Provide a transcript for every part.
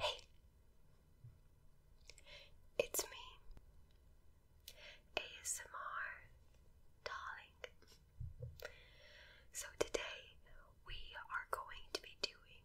Hey, it's me, ASMR Darling. So, today we are going to be doing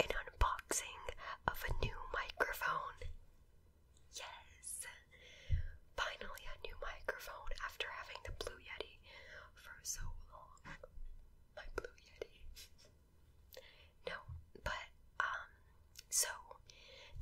an unboxing of a new microphone. Yes! Finally, a new microphone after having the Blue Yeti for so long my Blue Yeti. no, but um, so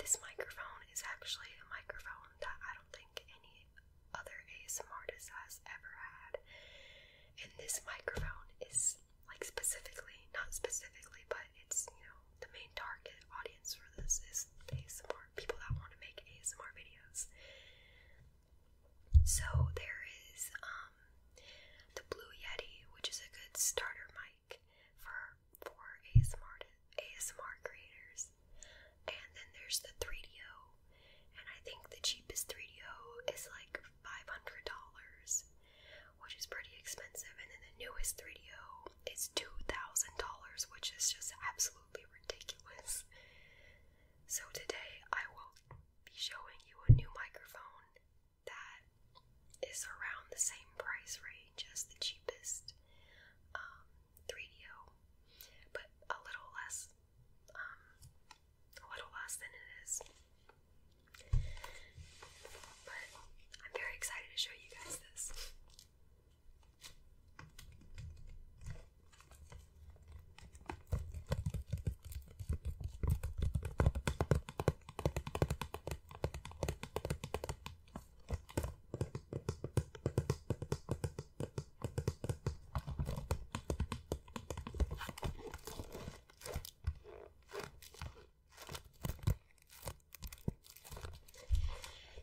this microphone is actually a microphone that I don't think any other ASMR does has ever had. And this microphone is like specifically, not specifically, but it's you know the main target audience for this is ASMR people that want to make ASMR videos. So there is um, the Blue Yeti, which is a good starter mic for for ASMR ASMR creators. And then there's the 3DO, and I think the cheapest 3DO is like $500, which is pretty expensive. And then the newest 3DO is $2,000, which is just absolutely ridiculous. So today I will be showing you a new microphone that is around the same price range as the cheapest 3DO, um, but a little less, um, a little less than it is. But I'm very excited to show you guys this.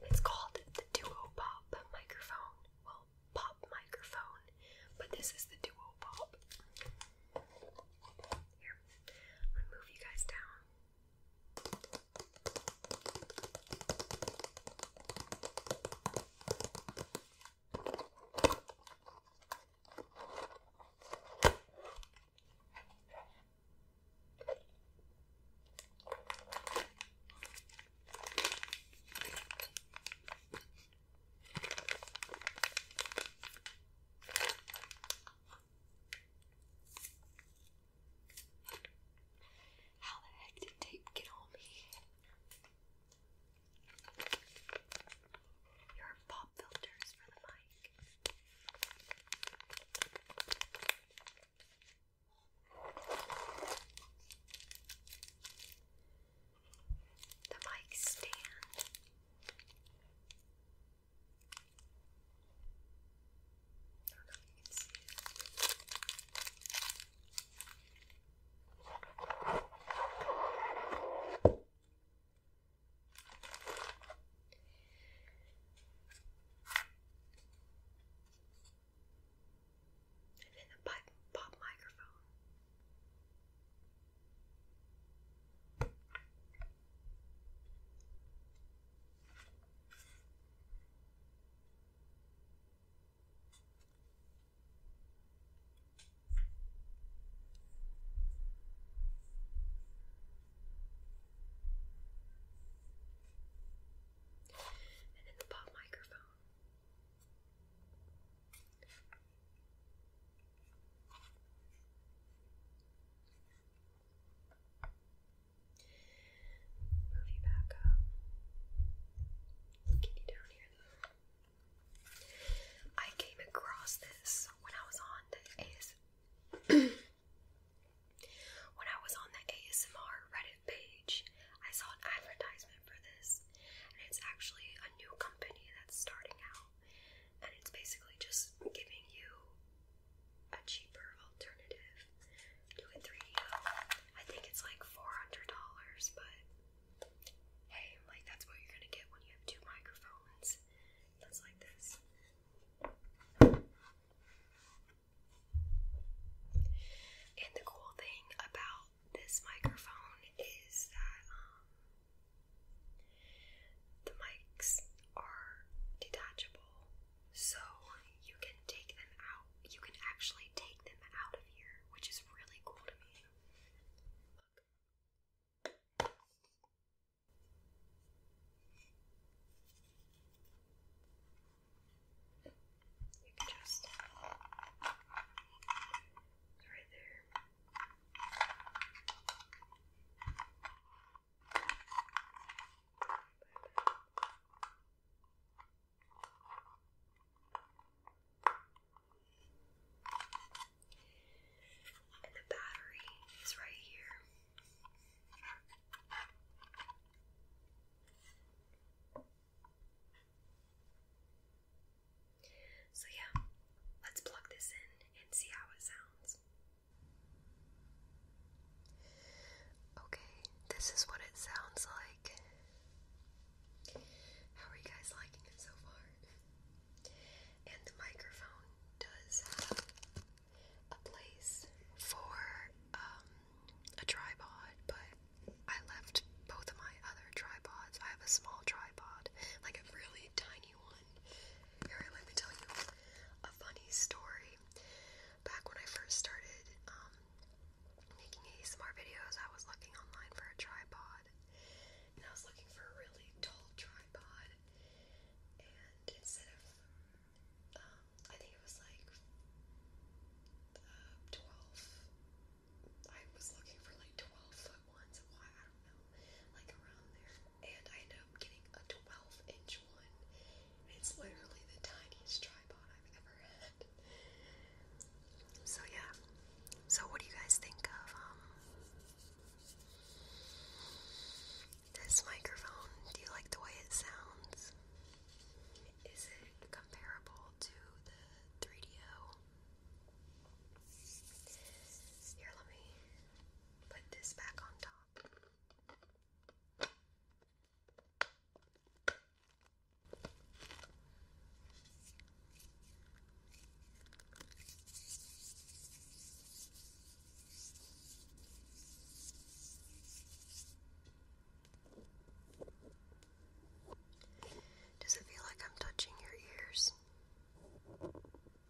It's called the Duo Pop microphone. Well, pop microphone, but this is the duo pop. Here, move you guys down. How the heck did tape get on me? Your pop filters for the mic the mic stand. And then the pop microphone. And then the pop microphone. I came across this when I was on the AS when I was on the ASMR Reddit page. I saw an advertisement for this, and it's actually a new company that's starting out and it's basically just giving you a cheaper alternative to a 3 I think it's like $400, but hey, like that's what you're gonna get when you have two microphones. That's like this. And the cool thing about this microphone is that um, the mics are detachable, so you can take them out. You can actually take them out of here, which is really cool to me. Look. You can just. It's right there. And the battery is right here. So, yeah, let's plug this in and see how it sounds. Okay, this is what it sounds like. How are you guys liking it so far? And the microphone does have a place for um, a tripod, but I left both of my other tripods. I have a small tripod, like a really tiny anyone. let me tell you a funny story. Back when I first started um, making ASMR videos, I was looking online for a tripod. And I was looking for a really tall tripod. And instead of, um, I think it was like uh, 12, I was looking for like 12 one, so why I don't know, like around there. And I ended up getting a 12 inch one. It's literally the tiniest tripod I've ever had. So yeah. So what do you guys think of um, this microphone? Do you like the way it sounds? Is it comparable to the 3DO? Here, let me put this back on top. Does it feel like I'm touching your ears?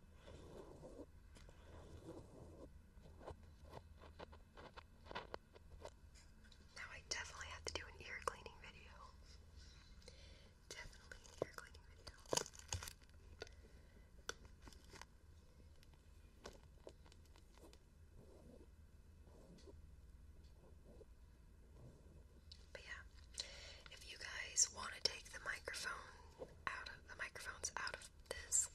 Now I definitely have to do an ear cleaning video. Definitely an ear cleaning video. But yeah, if you guys want to take the microphone out of the microphones out of this.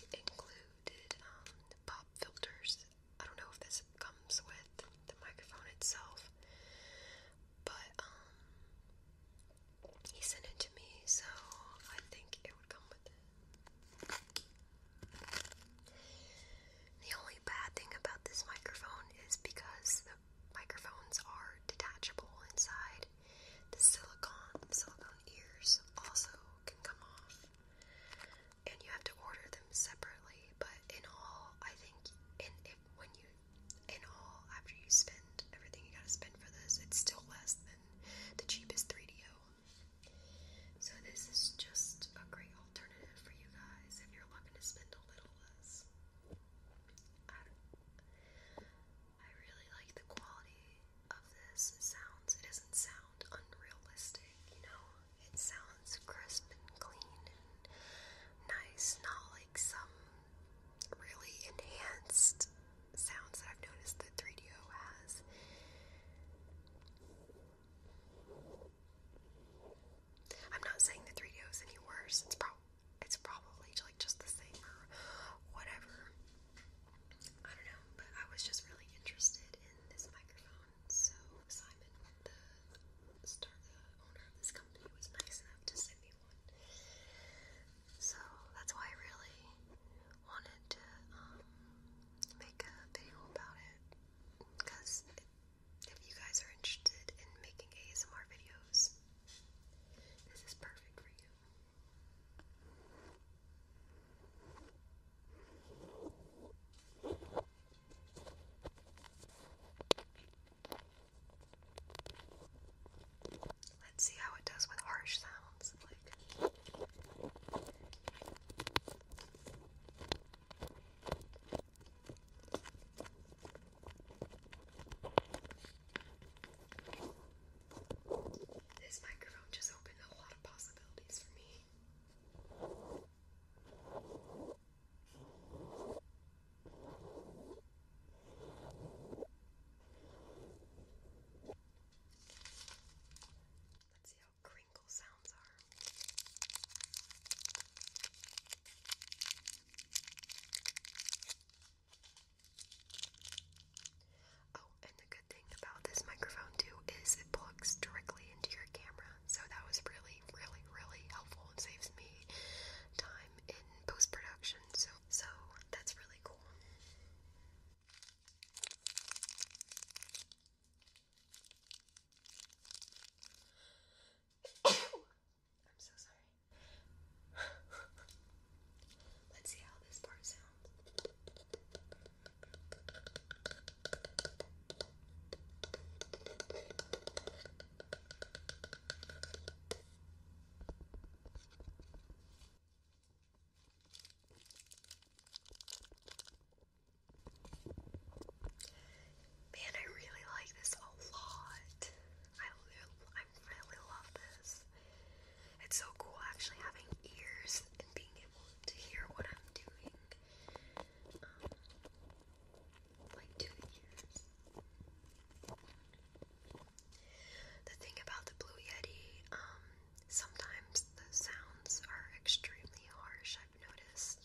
He included um, pop filters. I don't know if this comes with the microphone itself, but um, he sent it to me, so I think it would come with The only bad thing about this microphone is because the microphones are detachable inside, the silicone, silicone ears also can come off. And you have to order them separately, but in all, I think in if when you in all after you spend everything you gotta spend for this, it's still less than the cheapest 3 d So this is just a great alternative for you guys if you're looking to spend a little less. I really like the quality of this sounds. It doesn't sound unrealistic, you know? It sounds crisp and clean and nice, not like some really enhanced sounds that I've noticed that 3DO has. I'm not saying the 3DO is any worse. It's probably it's probably like just the same or whatever. I don't know, but I was just really interested in this microphone. So Simon, the owner of this company, was nice enough to send me one. So that's why I really wanted to um, make a video about it. Because if you guys are interested in making ASMR videos, this is perfect for you. Let's see how it does with harsh sounds. Like this microphone just opened a lot of possibilities for me. Let's see how crinkle sounds are. Oh, and the good thing about this microphone too is it plugs directly into your camera. So that was really, really, really helpful. and saves me time in post production. So so that's really cool. I'm so sorry. Let's see how this part sounds. Man, I really like this a lot. I, I I really love this. It's so cool actually having ears and being able to hear what I'm doing. Um, like to ears. The thing about the Blue Yeti, um, sometimes the sounds are extremely harsh, I've noticed.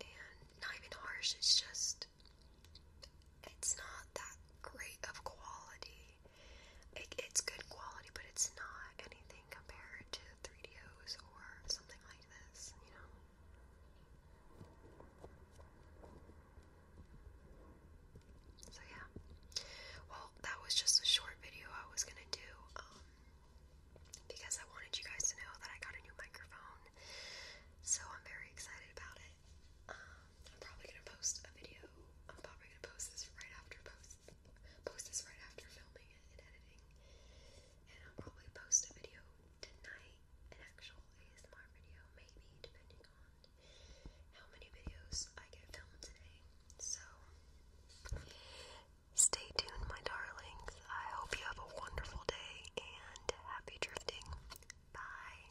And not even harsh, it's just, it's not that great of quality it's good quality, but it's not anything compared to 3 Ds or something like this, you know? So, yeah. Well, that was just a short video I was gonna do um, because I wanted you guys to know that I got a new microphone. So, I'm very excited about it. Um, I'm probably gonna post a video. I'm probably gonna post this right after post post this right after filming and editing. And I'll probably post a video tonight, an actual ASMR video, maybe, depending on how many videos I get filmed today. So stay tuned my darlings. I hope you have a wonderful day and happy drifting. Bye.